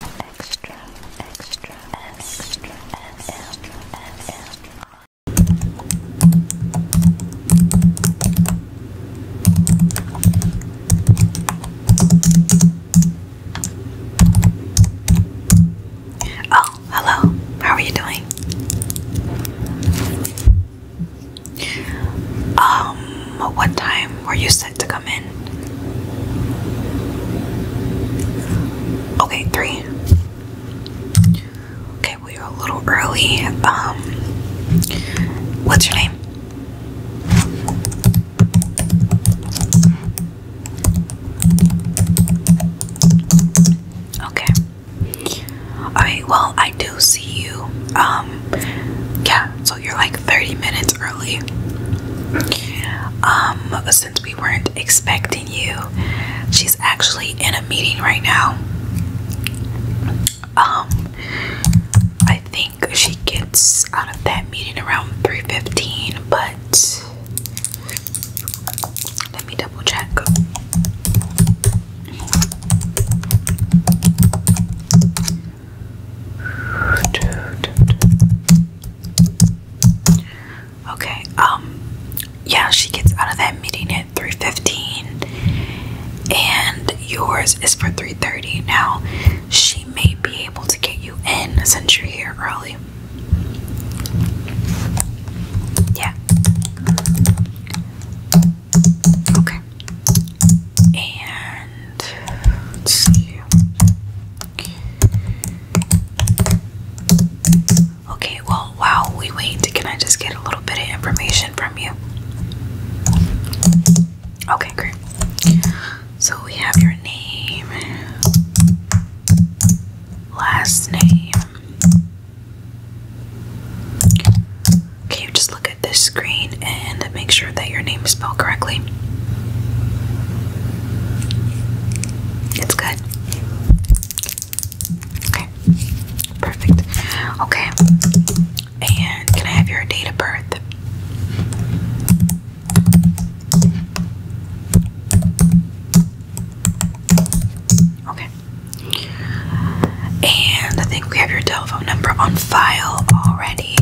extra, extra, extra, extra, extra. Oh, hello. How are you doing? Um, what time were you to come in. Okay, three. Okay, we are a little early. Um, what's your name? Okay. Alright, well, I do see you. Um, yeah, you're like 30 minutes early. Um, since we weren't expecting you, she's actually in a meeting right now. Um, I think she gets out of that meeting around 3:15, but let me double check. Okay, um, yeah, she gets out of that meeting at 3.15 and yours is for 3.30. Now, she may be able to get you in since you're here early. Yeah. Okay. And Okay. well, while we wait, can I just get a little bit of information from you? Okay, great. So we have your name, last name. Can just look at this screen? and make sure that your name is spelled correctly. It's good. Okay. Perfect. Okay. And can I have your date of birth? Okay. And I think we have your telephone number on file already.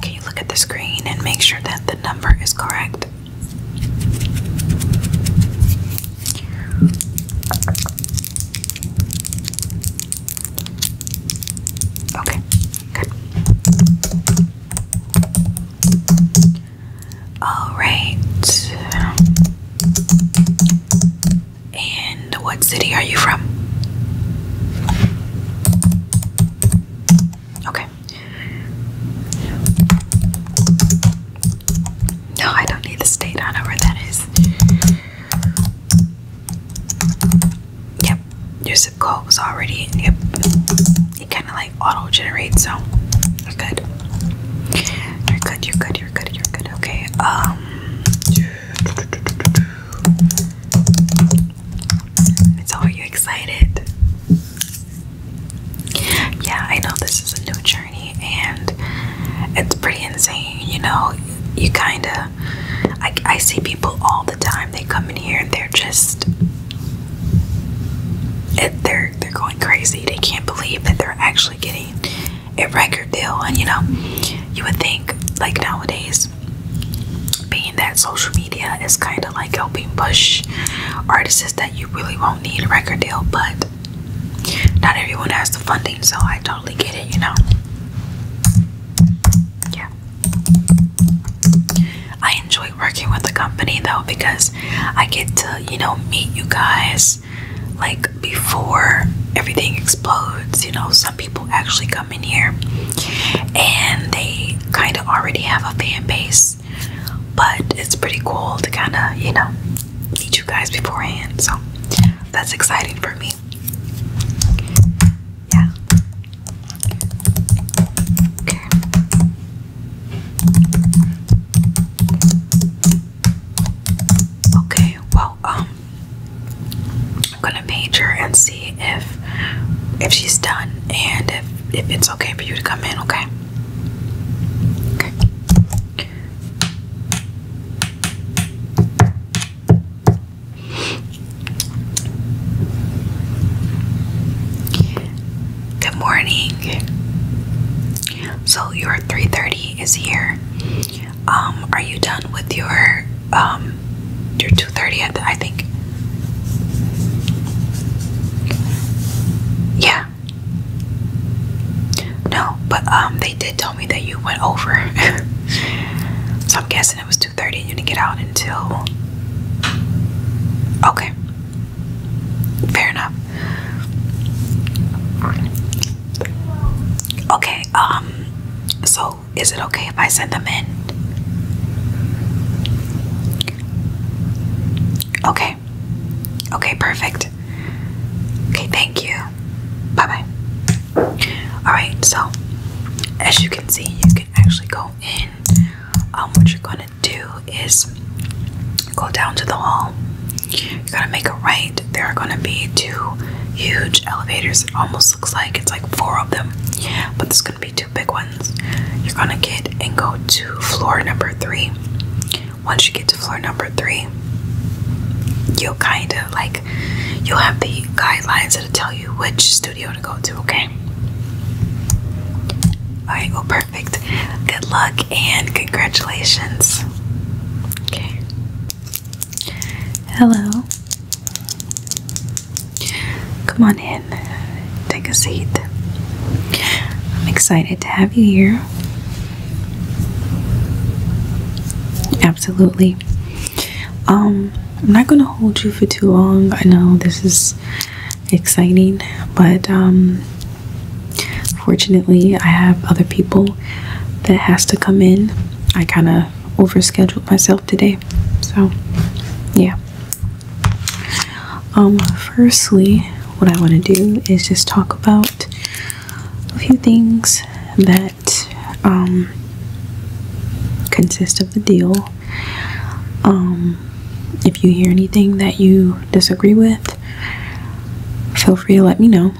Can you look at the screen and make sure that the number is correct? Okay, good. All right. And what city are you from? Okay. No, I don't need the state. I know where that is. Yep, your zip code was already. Yep, it kind of like auto generates, so you're good. You're good. You're good. You're good. You're good. Okay. Um. So, are you excited? Yeah, I know this is a new journey and it's pretty insane. You know, you kind of, I, I see people all the time. They come in here and they're just, they're they're going crazy. They can't believe that they're actually getting a record deal. And you know, you would think like nowadays, being that social media is kind of like helping push artists that you really won't need a record deal, but not everyone has the funding, so I totally get it, you know. Yeah. I enjoy working with the company though because I get to, you know, meet you guys like before everything explodes. You know, some people actually come in here and they kind of already have a fan base, but it's pretty cool to kind of, you know, meet you guys beforehand. So that's exciting for me. Yeah. Okay. Okay, well, um, I'm gonna page and see if if she's done and if if it's okay for you to come in, okay? Okay. Good morning. So your 3:30 is here. Um, are you done with your um your 230 at the, I think? Yeah. No, but um they did tell me that you went over. so I'm guessing it was 230 and you didn't get out until Okay. Fair enough. Okay, um, so is it okay if I send them in? Okay. Okay, perfect. Okay, thank you. Bye bye. Alright, so as you can see, you can actually go in. Um, what you're gonna do is go down to the hall you gotta make it right. There are gonna be two huge elevators. It almost looks like it's like four of them, but there's gonna be two big ones. You're gonna get and go to floor number three. Once you get to floor number three, you'll kind of like you'll have the guidelines that'll tell you which studio to go to, okay? Alright, well, perfect. Good luck and congratulations. Okay. Hello. Come on in. Take a seat. I'm excited to have you here. Absolutely. Um, I'm not going to hold you for too long. I know this is exciting, but um Fortunately, I have other people that has to come in. I kind of overscheduled myself today. So, yeah. Um firstly, what I want to do is just talk about a few things that um, consist of the deal. Um if you hear anything that you disagree with, feel free to let me know.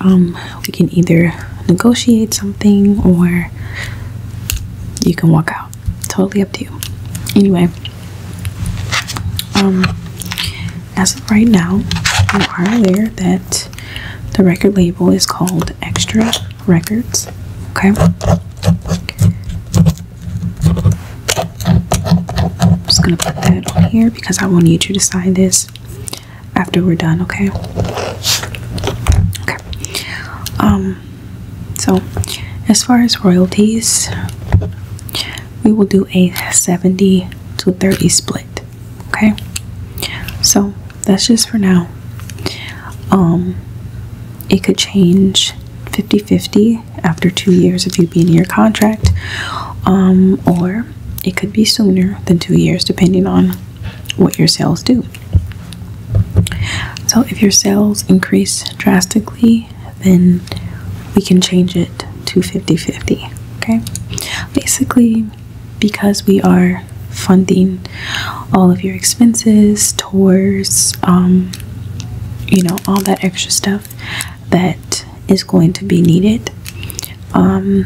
Um, we can either negotiate something or you can walk out totally up to you anyway um as of right now you are aware that the record label is called extra records okay I'm just gonna put that on here because I will need you to sign this after we're done, okay? Okay. Um so as far as royalties, we will do a 70 to 30 split. Okay. So that's just for now. Um it could change 50-50 after two years of you being in your contract, um, or it could be sooner than two years depending on what your sales do. So, if your sales increase drastically, then we can change it to 50 50. Okay, basically, because we are funding all of your expenses, tours, um, you know, all that extra stuff that is going to be needed, um,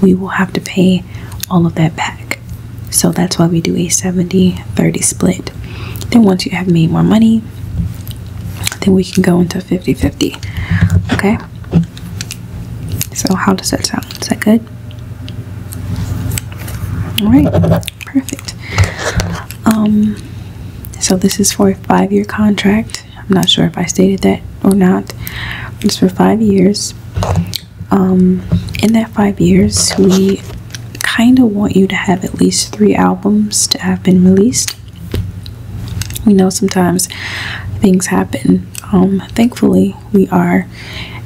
we will have to pay all of that back. So that's why we do a 70 30 split. Then, once you have made more money, then we can go into 50 50. Okay, so how does that sound? Is that good? All right, perfect. Um, so this is for a five year contract. I'm not sure if I stated that or not. It's for five years. Um, in that five years, we kind of want you to have at least three albums to have been released. We know sometimes things happen. Um, thankfully, we are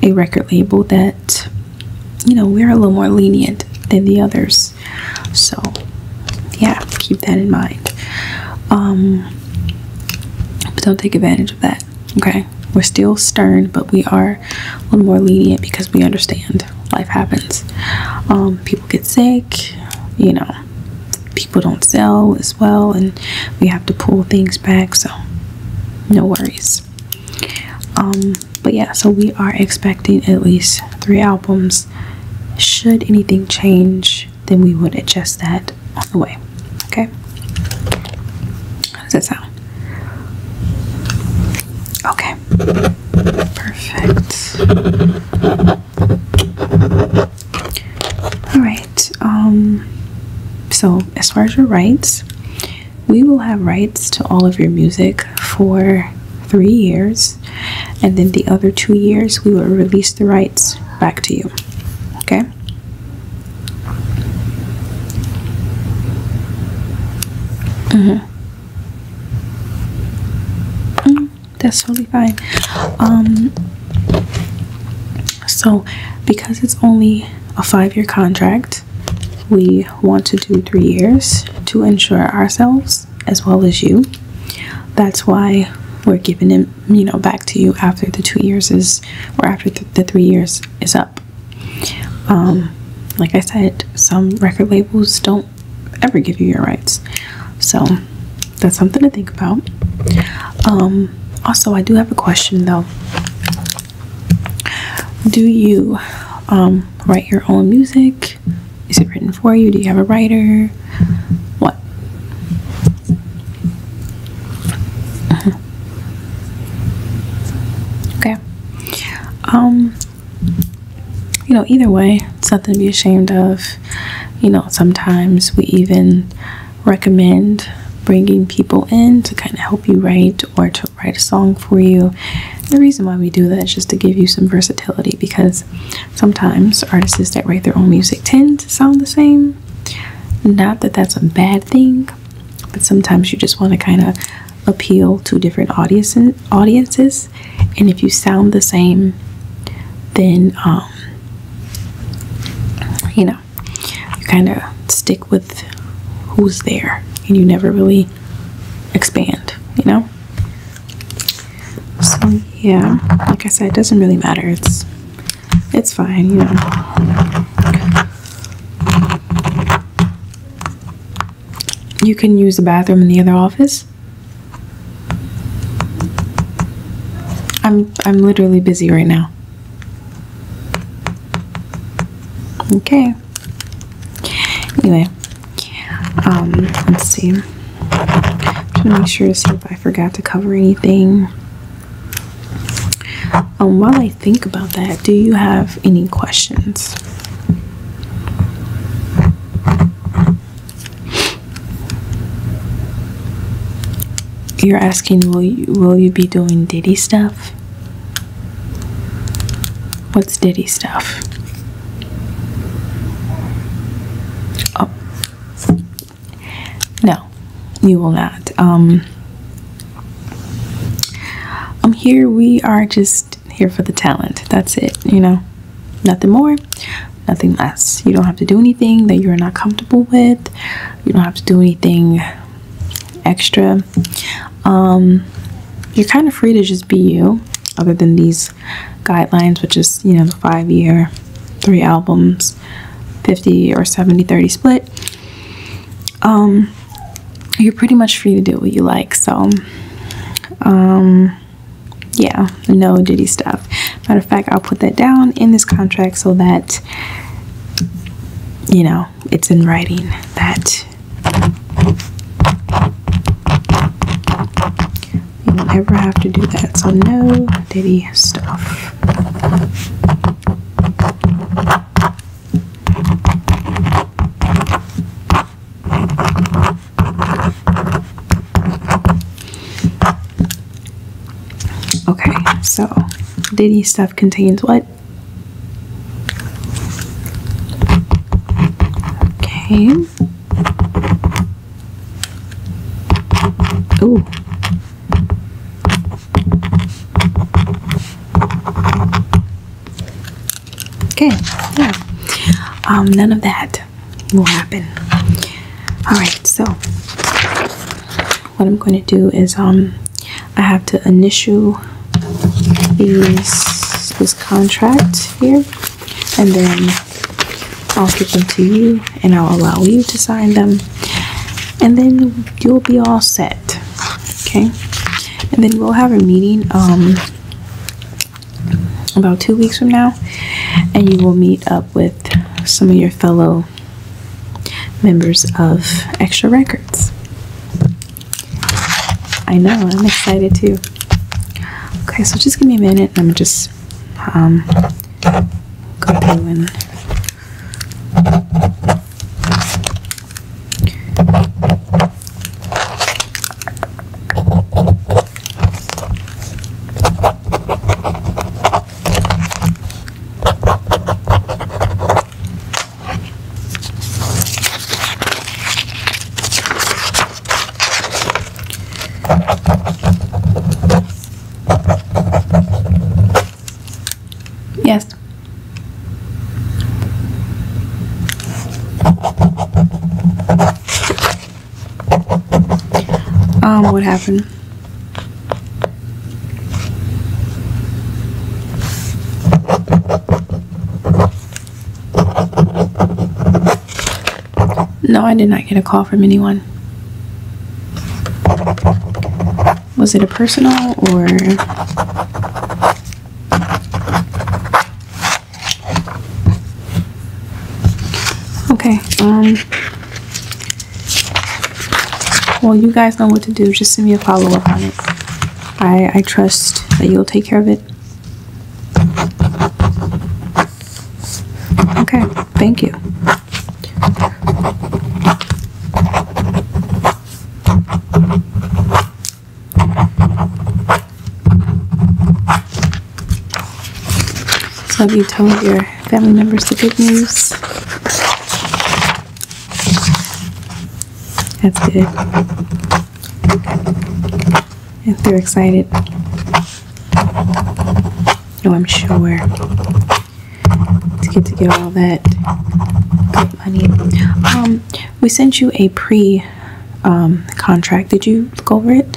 a record label that, you know, we're a little more lenient than the others. So, yeah, keep that in mind. Um, but don't take advantage of that, okay? We're still stern, but we are a little more lenient because we understand life happens. Um, people get sick, you know, people don't sell as well, and we have to pull things back, so no worries. Um, but yeah, so we are expecting at least three albums. Should anything change, then we would adjust that on the way. Okay? How does that sound? Okay. Perfect. Alright, um, so as far as your rights, we will have rights to all of your music for three years and then the other two years we will release the rights back to you. Okay? Mm hmm. that's totally fine. Um, so, because it's only a five year contract, we want to do three years to ensure ourselves as well as you. That's why we're giving them, you know, back to you after the two years is, or after the three years is up. Um, like I said, some record labels don't ever give you your rights, so that's something to think about. Um, also, I do have a question though. Do you um, write your own music? Is it written for you? Do you have a writer? What? Uh-huh. Okay. Um, you know, either way, it's nothing to be ashamed of. You know, sometimes we even recommend bringing people in to kind of help you write or to write a song for you. The reason why we do that is just to give you some versatility because Sometimes artists that write their own music tend to sound the same. Not that that's a bad thing, but sometimes you just want to kind of appeal to different audiences. And if you sound the same, then um, you know you kind of stick with who's there, and you never really expand. You know. So yeah, like I said, it doesn't really matter. It's it's fine, you know. You can use the bathroom in the other office. I'm I'm literally busy right now. Okay. Anyway, yeah. Um, let's see. I'm trying to make sure to see if I forgot to cover anything. Um, while I think about that, do you have any questions? You're asking, will you will you be doing Diddy stuff? What's Diddy stuff? Oh. No, you will not. Um, I'm um, here. We are just here for the talent. That's it, you know. Nothing more, nothing less. You don't have to do anything that you're not comfortable with. You don't have to do anything extra. Um, you're kind of free to just be you, other than these guidelines, which is, you know, the five year, three albums, 50 or 70 30 split. Um, you're pretty much free to do what you like, so um, yeah, no Diddy stuff. Matter of fact, I'll put that down in this contract so that you know it's in writing that you don't ever have to do that, so no Diddy stuff. Okay, so Diddy stuff contains what? Okay. Ooh. Okay, yeah. Um, none of that will happen. Alright, so what I'm going to do is um I have to initial these this contract here and then I'll give them to you and I'll allow you to sign them and then you'll be all set okay and then we'll have a meeting um, about two weeks from now and you will meet up with some of your fellow members of extra records I know, I'm excited too. Okay, so just give me a minute I'm just um go through and Yes. Um, what happened? No, I did not get a call from anyone. Was it a personal or? Okay, um, well, you guys know what to do. Just send me a follow up on it. I, I trust that you'll take care of it. Okay, thank you. have you told your family members the good news? That's good. If they're excited. Oh, I'm sure. To get to get all that good money. Um, we sent you a pre um, contract. Did you look over it?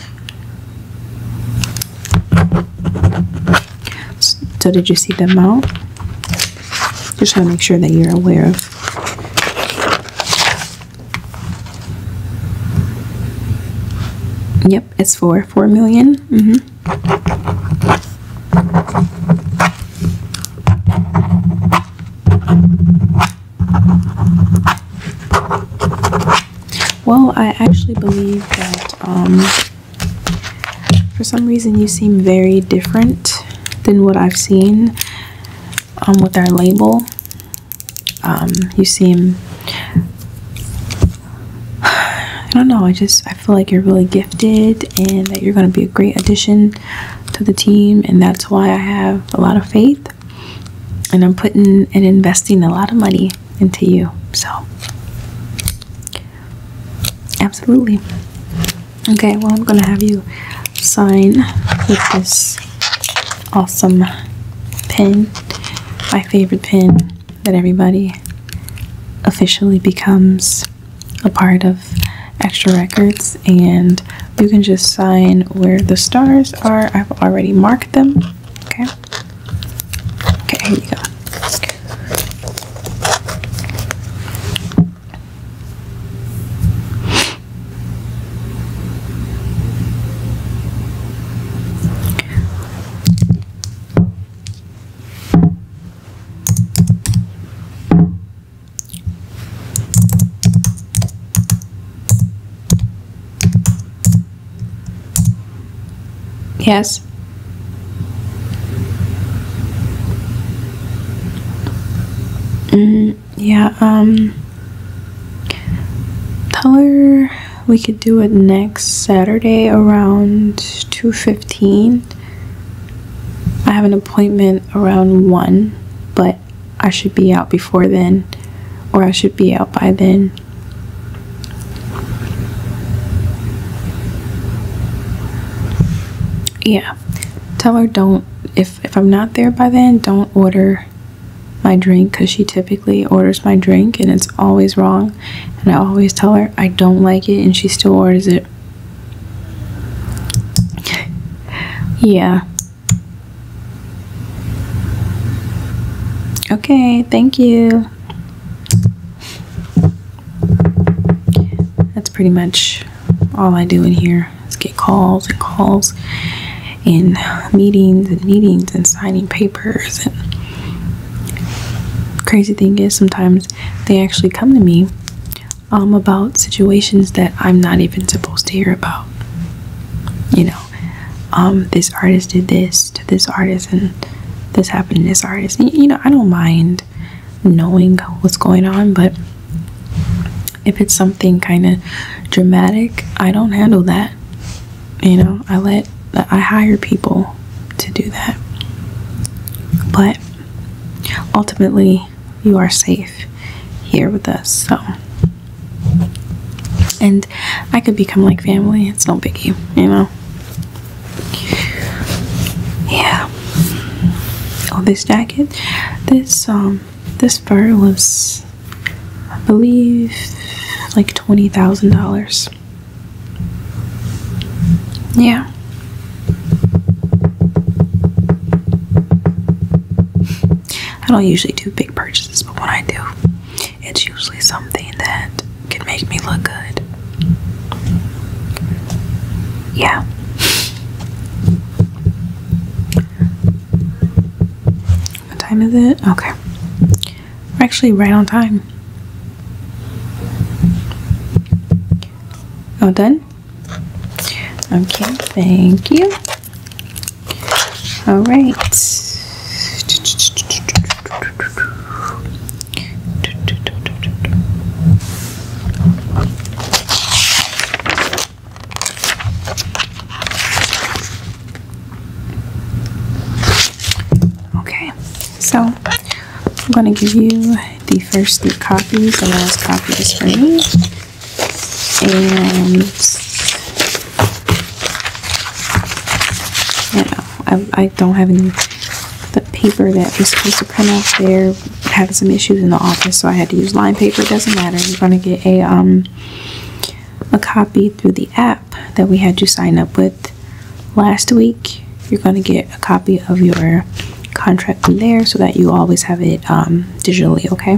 So did you see the amount? Just want to make sure that you're aware of Yep, it's for four million. hmm Well, I actually believe that um, for some reason you seem very different than what I've seen um, with our label. Um, you seem, I don't know, I just, I feel like you're really gifted and that you're going to be a great addition to the team. And that's why I have a lot of faith and I'm putting and investing a lot of money into you. So, absolutely. Okay, well, I'm gonna have you sign with this awesome pen, my favorite pen that everybody officially becomes a part of Extra Records, and you can just sign where the stars are. I've already marked them. Okay. Okay, here you go. Yes. Mm yeah, um, tell her we could do it next Saturday around 2.15. I have an appointment around 1, but I should be out before then, or I should be out by then. Yeah, tell her don't if if i'm not there by then don't order my drink because she typically orders my drink and it's always wrong and i always tell her i don't like it and she still orders it yeah okay thank you that's pretty much all i do in here get calls and calls and uh, meetings and meetings and signing papers and crazy thing is sometimes they actually come to me um, about situations that I'm not even supposed to hear about. You know, um, this artist did this to this artist and this happened to this artist. you know, I don't mind knowing what's going on, but if it's something kind of dramatic, I don't handle that. You know, I let I hire people to do that. But ultimately, you are safe here with us. So and I could become like family. It's no biggie, you know. Yeah of this jacket. This um this fur was I believe like twenty thousand dollars. Yeah. I don't usually do big purchases, but when I do, it's usually something that can make me look good. Yeah. What time is it? Okay. We're actually right on time. All done? Okay, thank you. All right. Okay, so I'm going to give you the first three copies. The last copy is for me. And, you I, I don't have any the paper that was supposed to come out there had some issues in the office, so I had to use lined paper. It doesn't matter. You're gonna get a um a copy through the app that we had you sign up with last week. You're gonna get a copy of your contract from there so that you always have it um, digitally, okay?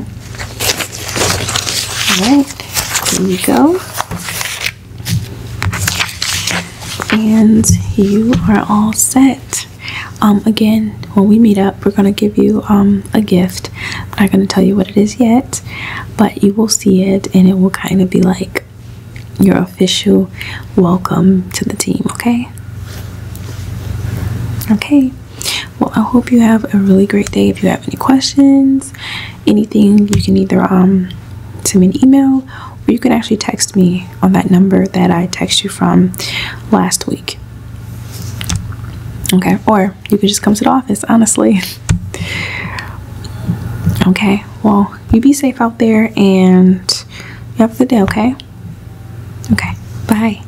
Alright, there you go. And you are all set. Um, again when we meet up we're gonna give you um, a gift i'm not gonna tell you what it is yet but you will see it and it will kind of be like your official welcome to the team okay okay well i hope you have a really great day if you have any questions anything you can either um send me an email or you can actually text me on that number that I text you from last week. Okay, or you could just come to the office, honestly. okay, well, you be safe out there and have a good day, okay? Okay, bye.